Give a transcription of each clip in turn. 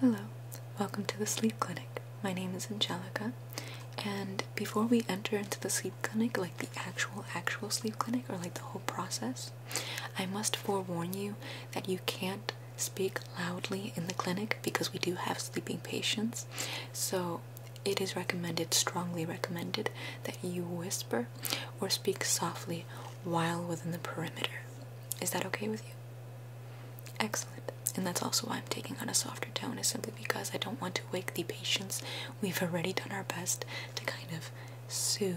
Hello, welcome to the sleep clinic. My name is Angelica, and before we enter into the sleep clinic, like the actual, actual sleep clinic, or like the whole process, I must forewarn you that you can't speak loudly in the clinic because we do have sleeping patients. So it is recommended, strongly recommended, that you whisper or speak softly while within the perimeter. Is that okay with you? Excellent. And that's also why I'm taking on a softer tone, is simply because I don't want to wake the patients. We've already done our best to kind of soothe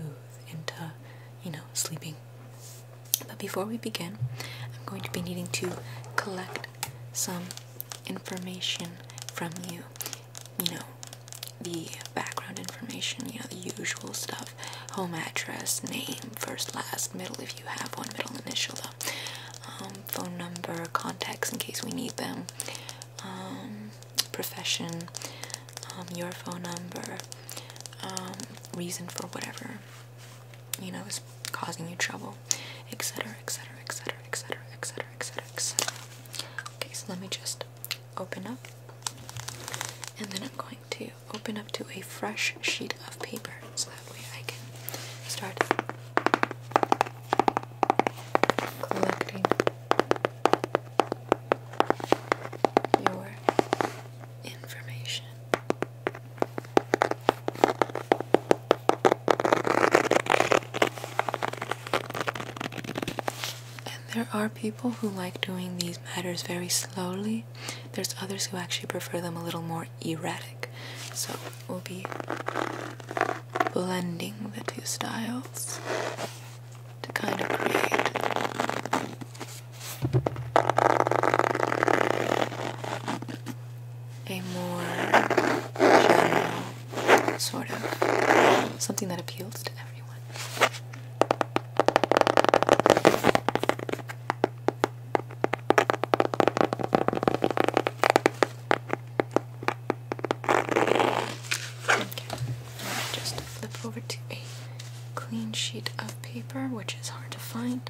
into, you know, sleeping. But before we begin, I'm going to be needing to collect some information from you. You know, the background information, you know, the usual stuff have home address, name, first, last, middle if you have one, middle initial though, um, phone number, contacts in case we need them, um, profession, um, your phone number, um, reason for whatever you know is causing you trouble, etc., etc., etc., etc., etc., etc., etc. Okay, so let me just open up and then I'm going to open up to a fresh sheet of paper so that way I can start collecting your information. And there are people who like doing these matters very slowly there's others who actually prefer them a little more erratic. So we'll be blending the two styles to kind of create a more general sort of something that appeals to everyone just flip over to a clean sheet of paper, which is hard to find.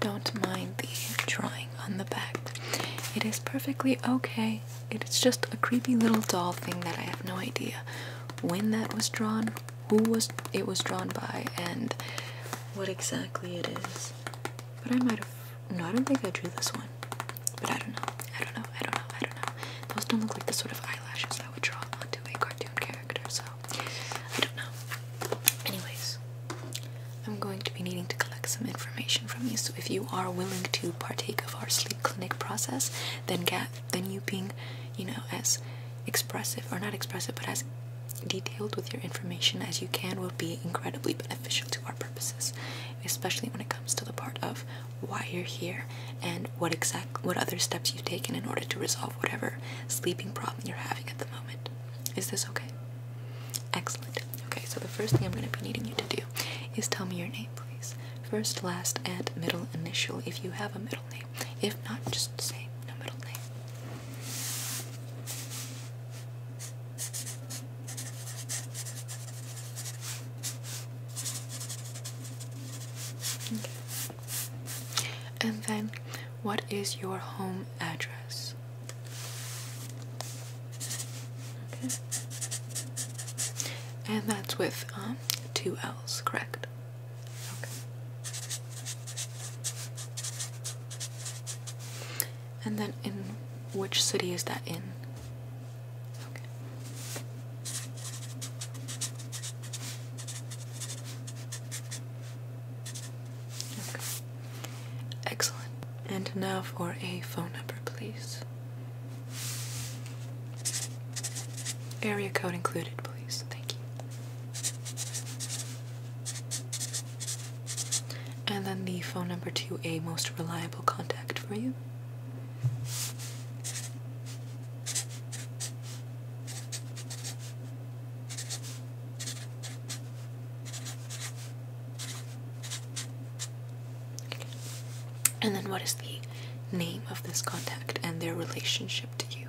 Don't mind the drawing on the back. It is perfectly okay. It's just a creepy little doll thing that I have no idea when that was drawn, who was it was drawn by, and what exactly it is. But I might have no, I don't think I drew this one. But I don't know. I don't know. I don't know. I don't know. Those don't look like the sort of eyelashes I would draw onto a cartoon character, so I don't know. Anyways, I'm going to be needing to collect some information from you. So if you are willing to partake of our sleep clinic process, then get then you being, you know, as expressive or not expressive, but as detailed with your information as you can will be incredibly beneficial to our purposes, especially when it comes to the part of why you're here and what exact what other steps you've taken in order to resolve whatever sleeping problem you're having at the moment. Is this okay? Excellent. Okay, so the first thing I'm going to be needing you to do is tell me your name, please. First, last, and middle initial if you have a middle name. If not, just say no middle name. And then, what is your home address? Okay. And that's with um, two L's, correct? Okay. And then, in which city is that in? Okay. Excellent. And now for a phone number, please. Area code included, please. Thank you. And then the phone number to a most reliable contact for you. And then, what is the name of this contact and their relationship to you?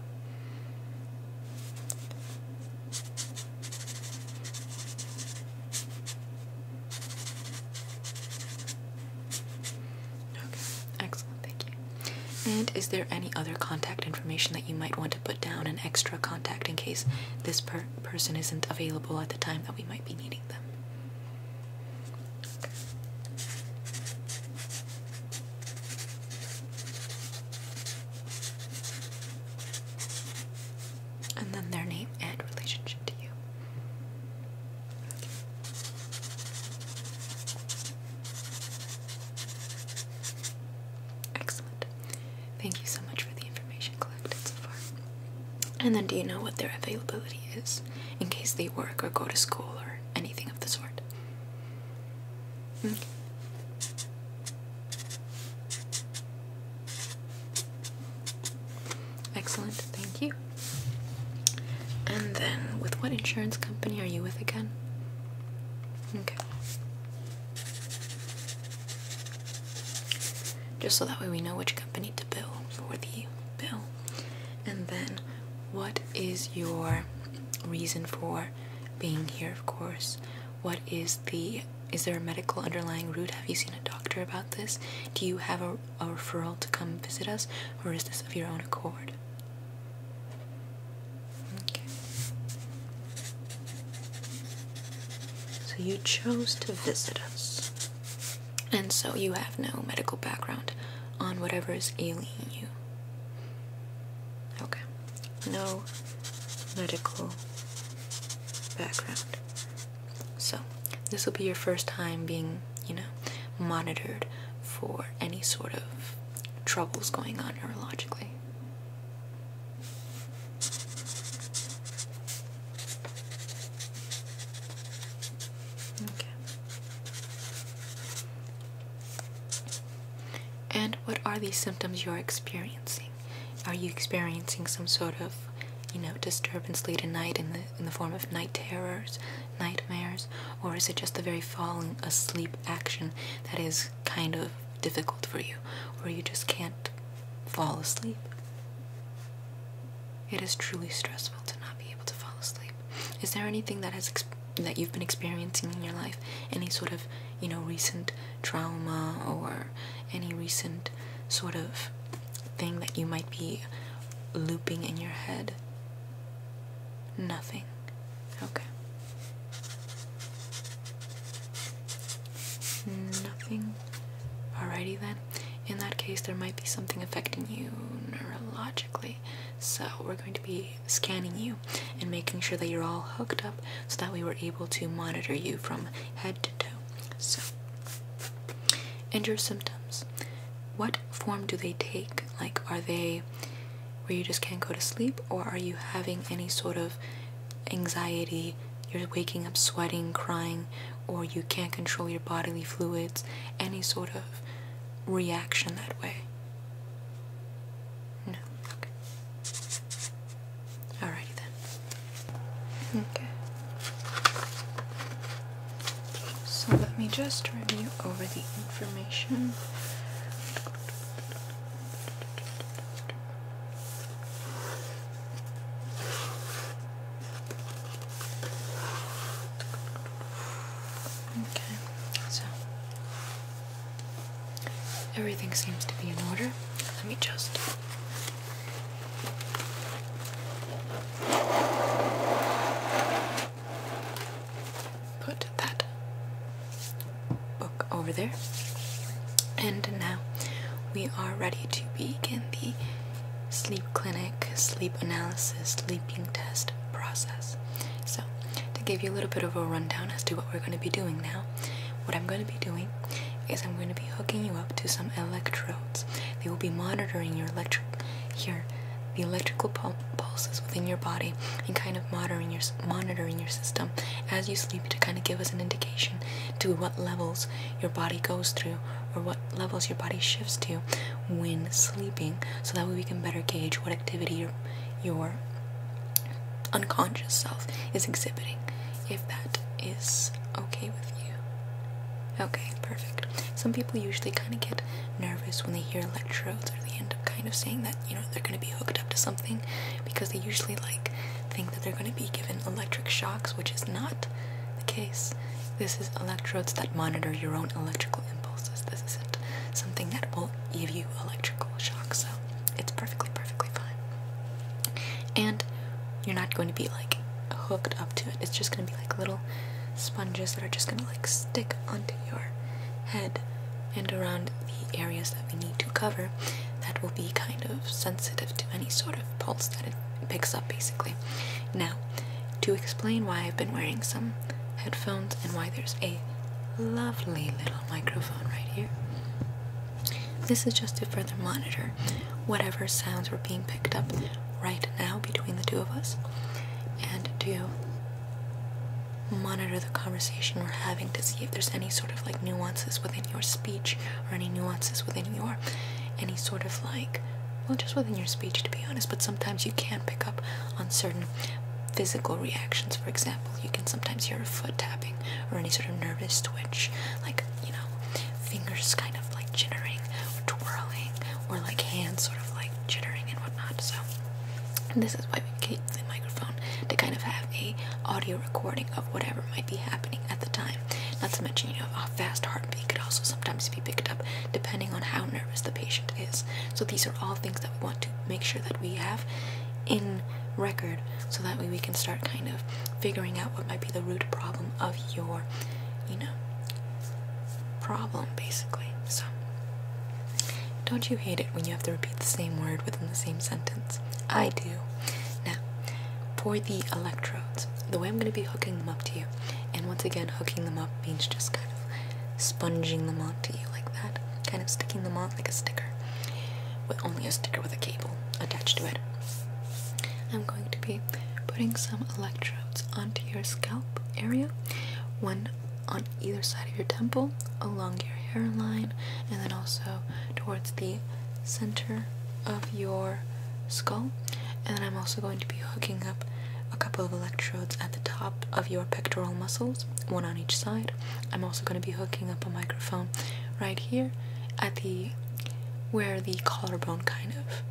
Okay, excellent, thank you. And is there any other contact information that you might want to put down, an extra contact in case this per person isn't available at the time that we might be needing them? and then their name and relationship to you. Excellent. Thank you so much for the information collected so far. And then, do you know what their availability is in case they work or go to school or anything of the sort? Hmm? Excellent, thank you. And then, with what insurance company are you with again? Okay. Just so that way we know which company to bill for the bill. And then, what is your reason for being here, of course? What is the is there a medical underlying root? Have you seen a doctor about this? Do you have a a referral to come visit us, or is this of your own accord? Okay. So you chose to visit us. And so you have no medical background on whatever is ailing you. Okay. No medical background so, this will be your first time being, you know, monitored for any sort of troubles going on neurologically. Okay. And what are these symptoms you're experiencing? Are you experiencing some sort of you know, disturbance late at night in the in the form of night terrors, nightmares, or is it just the very falling asleep action that is kind of difficult for you, where you just can't fall asleep? It is truly stressful to not be able to fall asleep. Is there anything that has that you've been experiencing in your life, any sort of, you know, recent trauma or any recent sort of thing that you might be looping in your head? Nothing. Okay. Nothing. Alrighty then. In that case, there might be something affecting you neurologically. So, we're going to be scanning you and making sure that you're all hooked up so that we were able to monitor you from head to toe. So, and your symptoms. What form do they take? Like, are they where you just can't go to sleep, or are you having any sort of anxiety? You're waking up sweating, crying, or you can't control your bodily fluids, any sort of reaction that way? No. Okay. Alrighty then. Okay. So let me just review over the information. Okay, so everything seems to be in order. Let me just Put that book over there. And now we are ready to begin the sleep clinic, sleep analysis, sleeping test process. So, to give you a little bit of a rundown as to what we're going to be doing now, what I'm going to be doing is I'm going to be hooking you up to some electrodes. They will be monitoring your electric here, the electrical pulses within your body, and kind of monitoring your monitoring your system as you sleep to kind of give us an indication to what levels your body goes through or what levels your body shifts to when sleeping, so that way we can better gauge what activity your your unconscious self is exhibiting if that is okay with you. Okay, perfect. Some people usually kind of get nervous when they hear electrodes, or they end up kind of saying that you know they're going to be hooked up to something because they usually like think that they're going to be given electric shocks, which is not the case. This is electrodes that monitor your own electrical impulses. This isn't something that will give you electrical shocks, so it's perfectly, perfectly fine and you're not going to be like hooked up to it it's just going to be like little sponges that are just going to like stick onto your head and around the areas that we need to cover that will be kind of sensitive to any sort of pulse that it picks up basically now to explain why i've been wearing some headphones and why there's a lovely little microphone right here this is just to further monitor whatever sounds were being picked up right now between the two of us and to monitor the conversation we're having to see if there's any sort of like nuances within your speech or any nuances within your any sort of like well just within your speech to be honest but sometimes you can pick up on certain physical reactions for example you can sometimes hear a foot tapping or any sort of nervous twitch like you know, fingers kind of like jittering twirling or like hands sort of like jittering and whatnot. So this is why we keep the microphone to kind of have a audio recording of whatever might be happening at the time. Not to mention, you know, a fast heartbeat could also sometimes be picked up depending on how nervous the patient is. So these are all things that we want to make sure that we have in record so that way we can start kind of figuring out what might be the root problem of your you know, problem basically. So, don't you hate it when you have to repeat the same word within the same sentence? I do. Now, for the electrodes, the way I'm going to be hooking them up to you, and once again, hooking them up means just kind of sponging them onto you like that, kind of sticking them on like a sticker, with only a sticker with a cable attached to it. I'm going to be putting some electrodes onto your scalp area, one on either side of your temple, along your hairline, and then also towards the center of your skull. And then I'm also going to be hooking up a couple of electrodes at the top of your pectoral muscles, one on each side. I'm also going to be hooking up a microphone right here at the where the collarbone kind of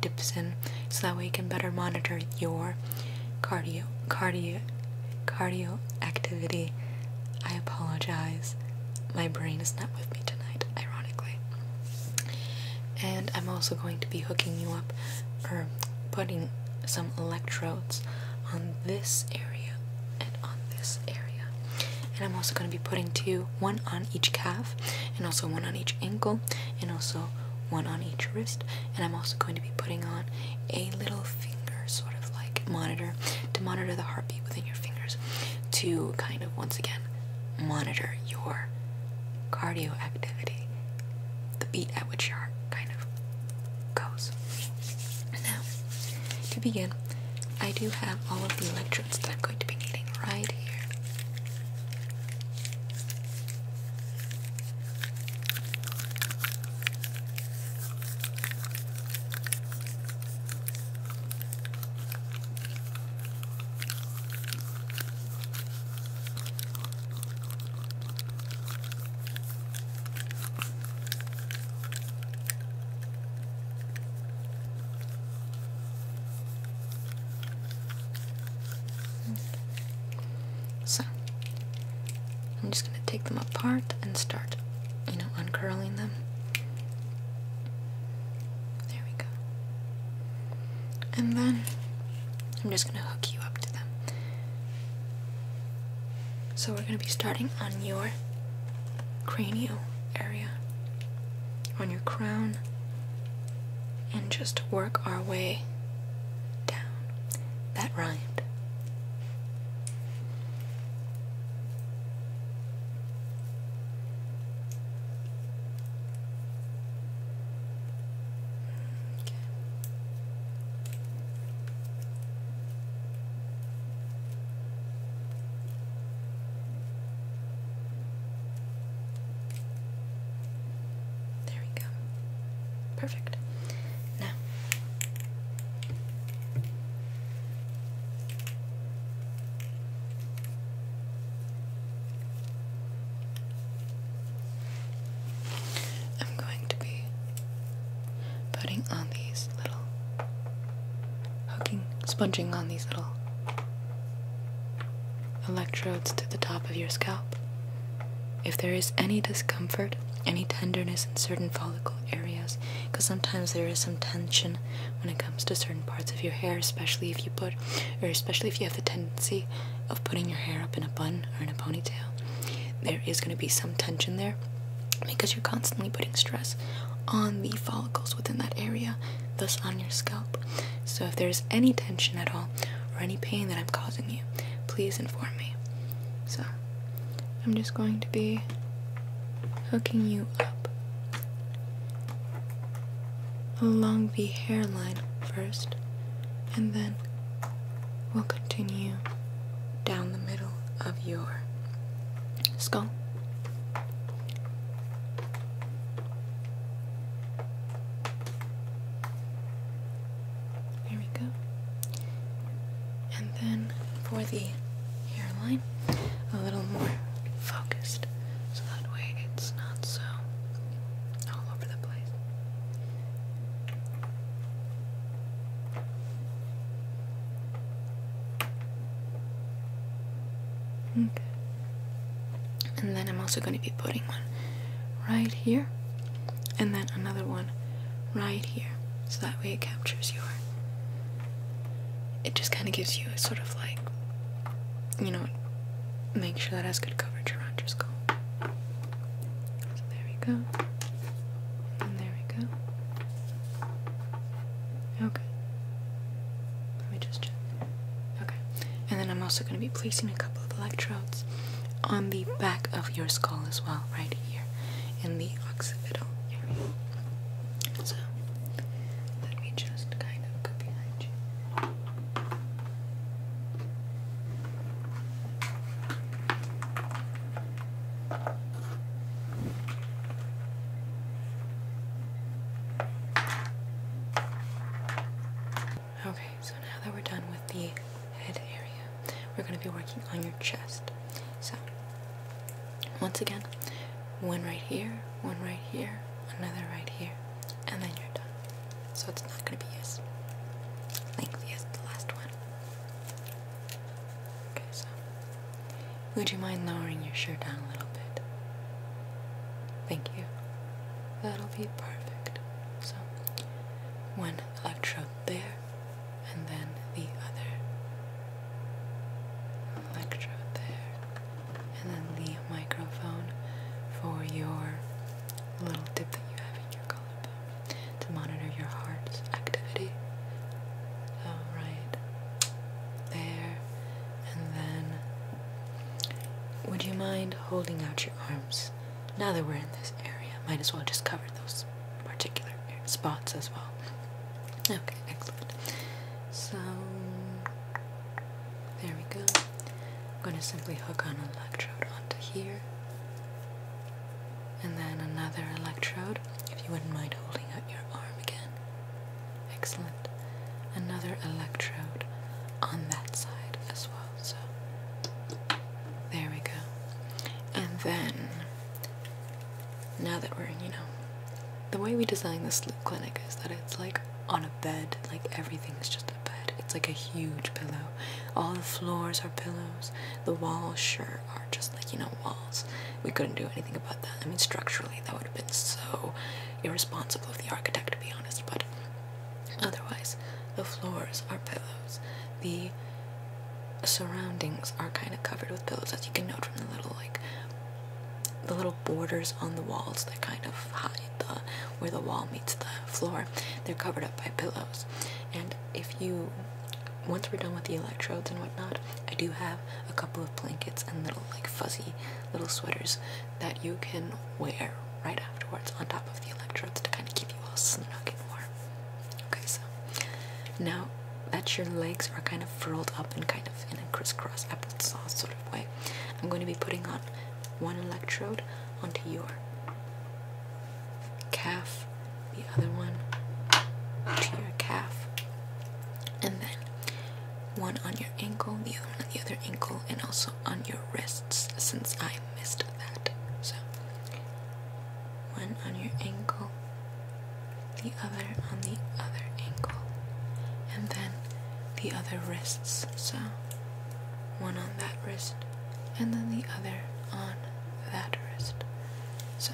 dips in so that way you can better monitor your cardio cardio cardio activity i apologize my brain is not with me tonight ironically and i'm also going to be hooking you up or putting some electrodes on this area and on this area and i'm also going to be putting two one on each calf and also one on each ankle and also one on each wrist and i'm also going to be putting on a little finger sort of like monitor to monitor the heartbeat within your fingers to kind of once again monitor your cardio activity the beat at which your heart kind of goes now to begin i do have all of the electronic entrance that I'm going to be needing right here. So, I'm just going to take them apart and start, you know, uncurling them. There we go. And then I'm just going to hook you up to them. So, we're going to be starting on your cranial area on your crown and just work our way down. That rind. Okay. There we go. Perfect. Now I'm going to be putting on these little hooking, sponging on these little electrodes to the top of your scalp. If there is any discomfort, any tenderness in certain follicle areas, because sometimes there is some tension when it comes to certain parts of your hair, especially if you put, or especially if you have the tendency of putting your hair up in a bun or in a ponytail, there is going to be some tension there because you're constantly putting stress on the follicles within that area thus on your scalp. So if there's any tension at all or any pain that I'm causing you, please inform me. So I'm just going to be hooking you up along the hairline first, and then we'll continue down the middle of your skull. There we go. And then for the hairline, a little more focused so that way it's not so all over the place. Okay. And then I'm also going to be putting one right here and then another one right here. So that way it captures your. It just kind of gives you a sort of like, you know, make sure that has good coverage around your skull. So there we go. And there we go. Okay. Let me just check. Okay. And then I'm also going to be placing a couple of electrodes on the back of your skull as well, right here in the occipital area. So, let me just kind of go behind you. Okay, so now that we're done with the head area, we're going to be working on your chest. So, once again, one right here, one right here, another right here, and then you're done. So it's not going to be as lengthy as the last one. Okay, so would you mind lowering your shirt down a little bit? Thank you. That'll be perfect. So, one electrode there, and then the other electrode there, and then the microphone for your little dip that you have in your collarbone to monitor your heart's activity. Alright. There. And then, would you mind holding out your arms? Now that we're in this area, might as well just cover those particular spots as well. Okay, excellent. So, there we go. I'm going to simply hook an electrode onto here. And then another electrode, if you wouldn't mind holding out your arm again. Excellent. Another electrode on that side as well. So there we go. And then now that we're, in, you know, the way we design this clinic is that it's like on a bed, like everything's just a bed. It's like a huge pillow. All the floors are pillows. The walls sure just like, you know, walls. We couldn't do anything about that. I mean, structurally, that would have been so irresponsible of the architect, to be honest, but otherwise, the floors are pillows. The surroundings are kind of covered with pillows, as you can note from the little, like, the little borders on the walls that kind of hide the where the wall meets the floor they're covered up by pillows and if you once we're done with the electrodes and whatnot i do have a couple of blankets and little like fuzzy little sweaters that you can wear right afterwards on top of the electrodes to kind of keep you all snug and warm. Okay, so now that your legs are kind of furled up and kind of in a crisscross applesauce sort of way, I'm going to be putting on one electrode onto your calf, the other one to your calf, and then one on your ankle, the other on the other ankle, and also on your wrists since I missed that. So, one on your ankle, the other on the other ankle, and then the other wrists. So, one on that wrist, and then the other on that wrist. So,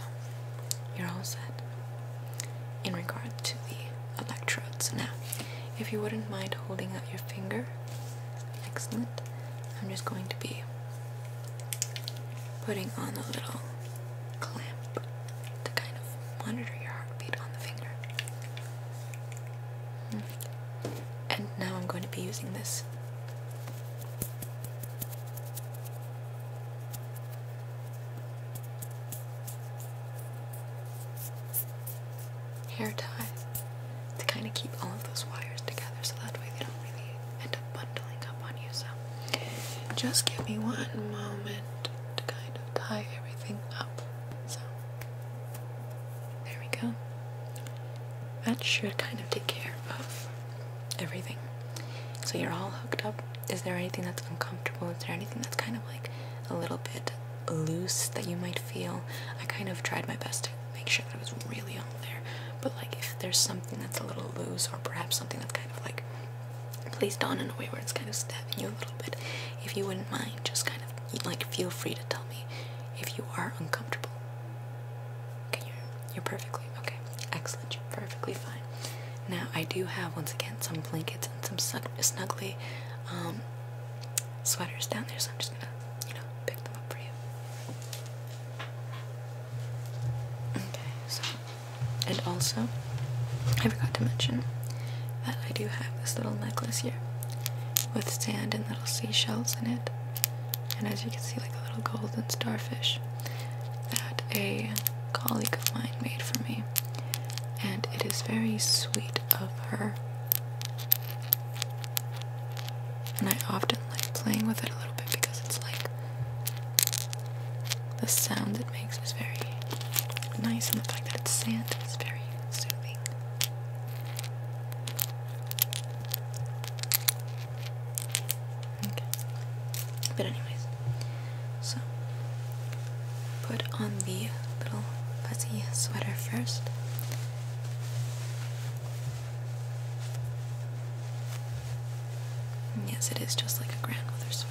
you're all set in regard to the electrodes. Now, if you wouldn't mind holding out your finger, excellent. I'm just going to be putting on a little clamp to kind of monitor your heartbeat on the finger. Hmm. And now I'm going to be using this hair tie to kind of keep all of those wires together so that way they don't really end up bundling up on you. So just give me one moment to kind of tie everything up. So there we go. That should kind of take care of everything. So you're all hooked up. Is there anything that's uncomfortable? Is there anything that's kind of like a little bit loose that you might feel? I kind of tried my best to make sure that it was really on there. But like if there's something that's a little loose or perhaps something that's kind of like placed on in a way where it's kind of stabbing you a little bit, if you wouldn't mind, just kind of like feel free to tell me if you are uncomfortable. Okay, you're, you're perfectly Okay, excellent. perfectly fine. Now, I do have once again some blankets and some snuggly um, sweaters down there, so I'm just gonna, you know, pick them up for you. Okay, so, and also, I forgot to mention that I do have this little necklace here with sand and little seashells in it, and as you can see, like a little golden starfish that a colleague of mine made for me, and it is very sweet of her. And I often like playing with it a little bit because it's like the sound it makes is very nice, and the fact that it's sand is very soothing. Okay. But anyways, so put on the little fuzzy sweater first. yes, it is just like a grandmother sweater.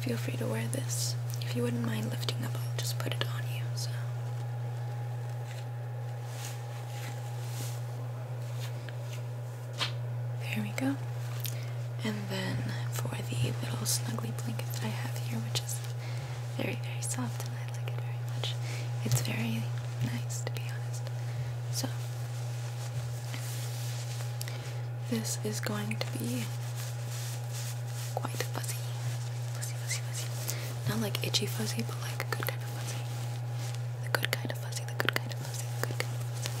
feel free to wear this. If you wouldn't mind lifting up, I'll just put it on you. So there we go. And then for the little snuggly blanket that I have here, which is very, very soft and I like it very much. It's very nice to be honest. So this is going to be quite fuzzy. Fuzzy, fuzzy, fuzzy. Not like itchy fuzzy, but like a good kind of fuzzy. The good kind of fuzzy, the good kind of fuzzy, good kind of fuzzy.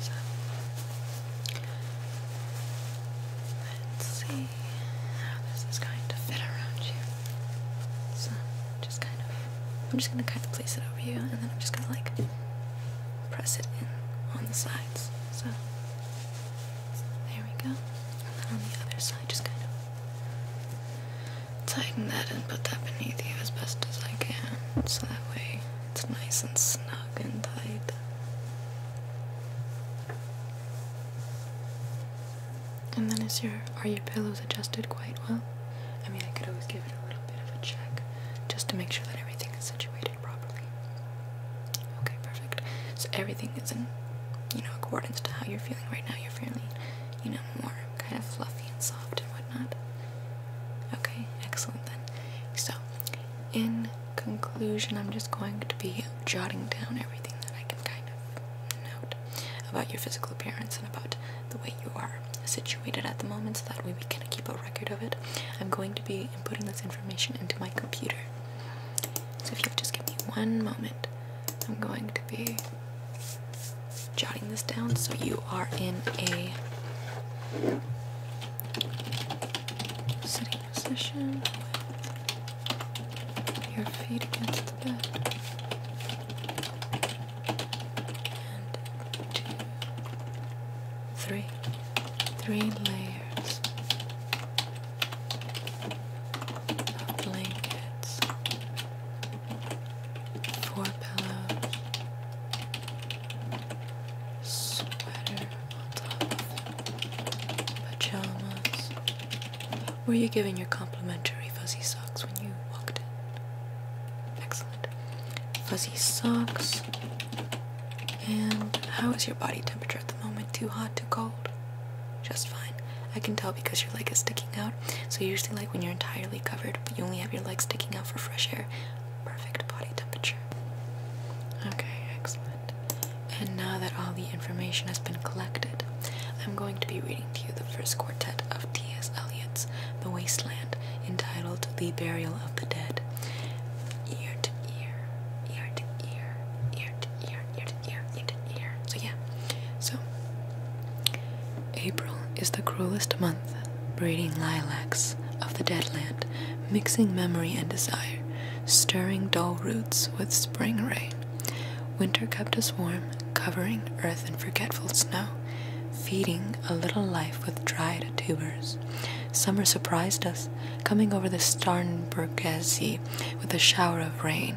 So let's see how this is going to fit around you. So just kind of I'm just gonna kind of place it over you and then I'm just gonna like press it in on the sides. So there we go. And then on the other side just kind of tighten that and put that beneath you as best as I can so that way it's nice and snug and tight. And then is your are your pillows adjusted quite well? I mean, I could always give it a little bit of a check just to make sure that everything is situated properly. Okay, perfect. So everything is in, you know, accordance to how you're feeling right now. You're feeling, you know, more kind of fluffy and soft and whatnot. Okay, excellent then. So in conclusion, I'm just going to be jotting down everything that I can kind of note about your physical appearance and about the way you are situated at the moment so that way we can keep a record of it. I'm going to be putting this information into my computer. So if you will just give me one moment, I'm going to be jotting this down so you are in a sitting position with your feet against the bed. And two, three, three layers of blankets, four pillows sweater pajamas. Were you giving your complimentary fuzzy socks when you walked in? Excellent. Fuzzy socks. And how is your body temperature at the moment? Too hot, too cold? Just fine. I can tell because your leg is sticking out. So usually like when you're entirely covered but you only have your leg sticking out for fresh air, perfect body temperature. Okay, excellent. And now that all the information has been collected, I'm going to be reading to you the first quartet of T.S. Eliot's The Wasteland, entitled The Burial of the Dead. Ear to ear, ear to ear, ear to ear, ear to ear, ear to ear. So, yeah. So, April is the cruelest month. Breeding lilacs of the dead land, mixing memory and desire, stirring dull roots with spring rain. Winter kept us warm, covering earth in forgetful snow, feeding a little life with dried tubers. Summer surprised us, coming over the Starnbergersee with a shower of rain.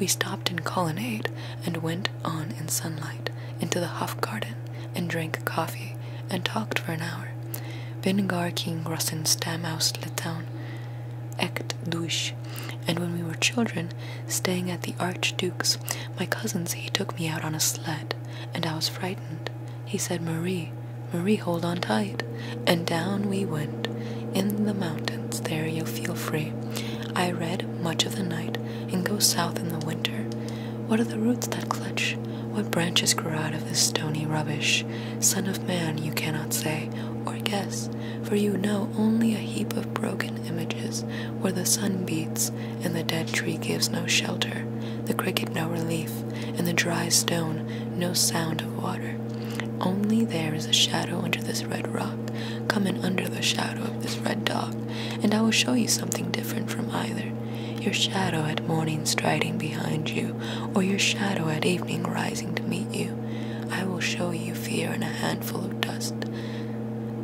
We stopped in colonnade and went on in sunlight into the Hofgarten, and drank coffee and talked for an hour. Bin gar king grossen stam aus Litauen, echt durch. And when we were children, staying at the Archduke's, my cousins, he took me out on a sled, and I was frightened. He said, Marie, Marie, hold on tight. And down we went. In the mountains, there you'll feel free. I read much of the night and go south in the winter. What are the roots that clutch? What branches grow out of this stony rubbish? Son of man, you cannot say or guess, for you know only a heap of broken images where the sun beats and the dead tree gives no shelter, the cricket no relief, and the dry stone no sound of water. Only there is a shadow under this red rock. Come in under the shadow of this red dog, and I will show you something different from either your shadow at morning striding behind you, or your shadow at evening rising to meet you. I will show you fear in a handful of dust.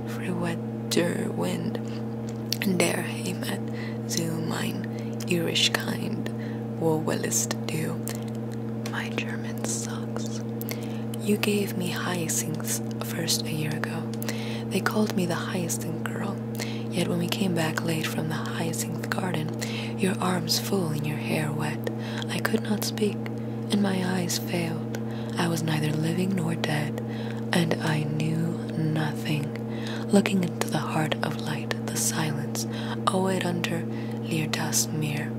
Friwetter wind, der heimat, zu mein Irish kind, wo willest du? My German sucks. You gave me hyacinths first a year ago. They called me the hyacinth girl. Yet when we came back late from the hyacinth garden, your arms full and your hair wet, I could not speak, and my eyes failed. I was neither living nor dead, and I knew nothing. Looking into the heart of light, the silence, oh, it under Lear das Meer.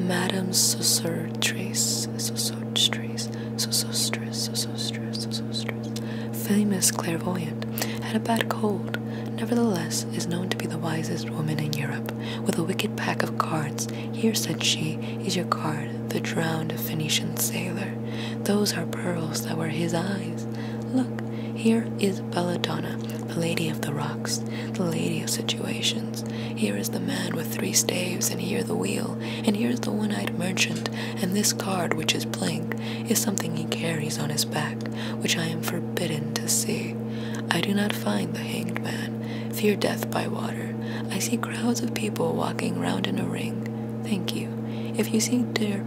Madame Saussure Trace, Saussure Trace, so so so so so so Sosostris, famous clairvoyant, had a bad cold, nevertheless is known to be the wisest woman in Europe, with a wicked pack of cards. Here, said she, is your card, the drowned Phoenician sailor. Those are pearls that were his eyes. Look, here is Belladonna, the lady of the rocks, the lady of situations. Here is the man with three staves, and here the wheel and here's the one eyed merchant, and this card, which is blank, is something he carries on his back, which I am forbidden to see. I do not find the hanged man, fear death by water. I see crowds of people walking round in a ring. Thank you. If you see dear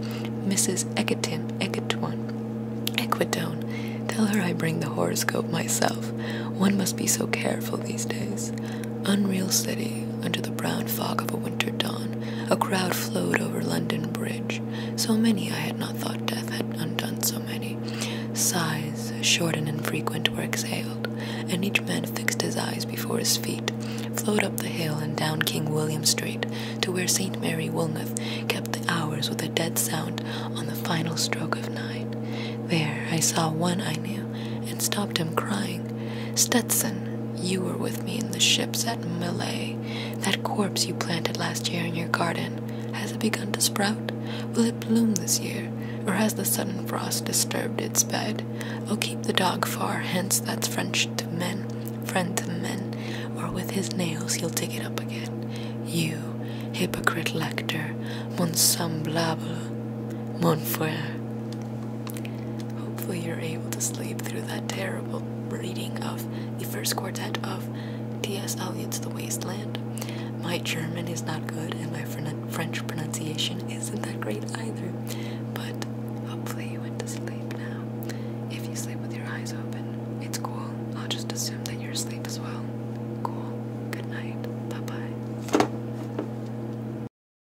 Mrs. Eketin, Eketwan, Equidone, tell her I bring the horoscope myself. One must be so careful these days. Unreal City, under the brown fog of a winter dawn, a crowd flowed over London Bridge. So many I had not thought death had undone so many. Sighs, short and infrequent, were exhaled, and each man fixed his eyes before his feet, flowed up the hill and down King William Street to where St. Mary Woolnoth kept the hours with a dead sound on the final stroke of nine. There I saw one I knew, and stopped him crying Stetson, you were with me in the ships at Malay. That corpse you planted last year in your garden, has it begun to sprout? Will it bloom this year? Or has the sudden frost disturbed its bed? Oh, keep the dog far hence, that's French to men, friend to men, or with his nails he'll dig it up again. You, hypocrite lector, mon semblable, mon frère. Hopefully, you're able to sleep through that terrible reading of the first quartet of T.S. Eliot's The Waste Land. My German is not good, and my French pronunciation isn't that great either, but hopefully, you went to sleep now. If you sleep with your eyes open, it's cool. I'll just assume that you're asleep as well. Cool. Good night. Bye bye.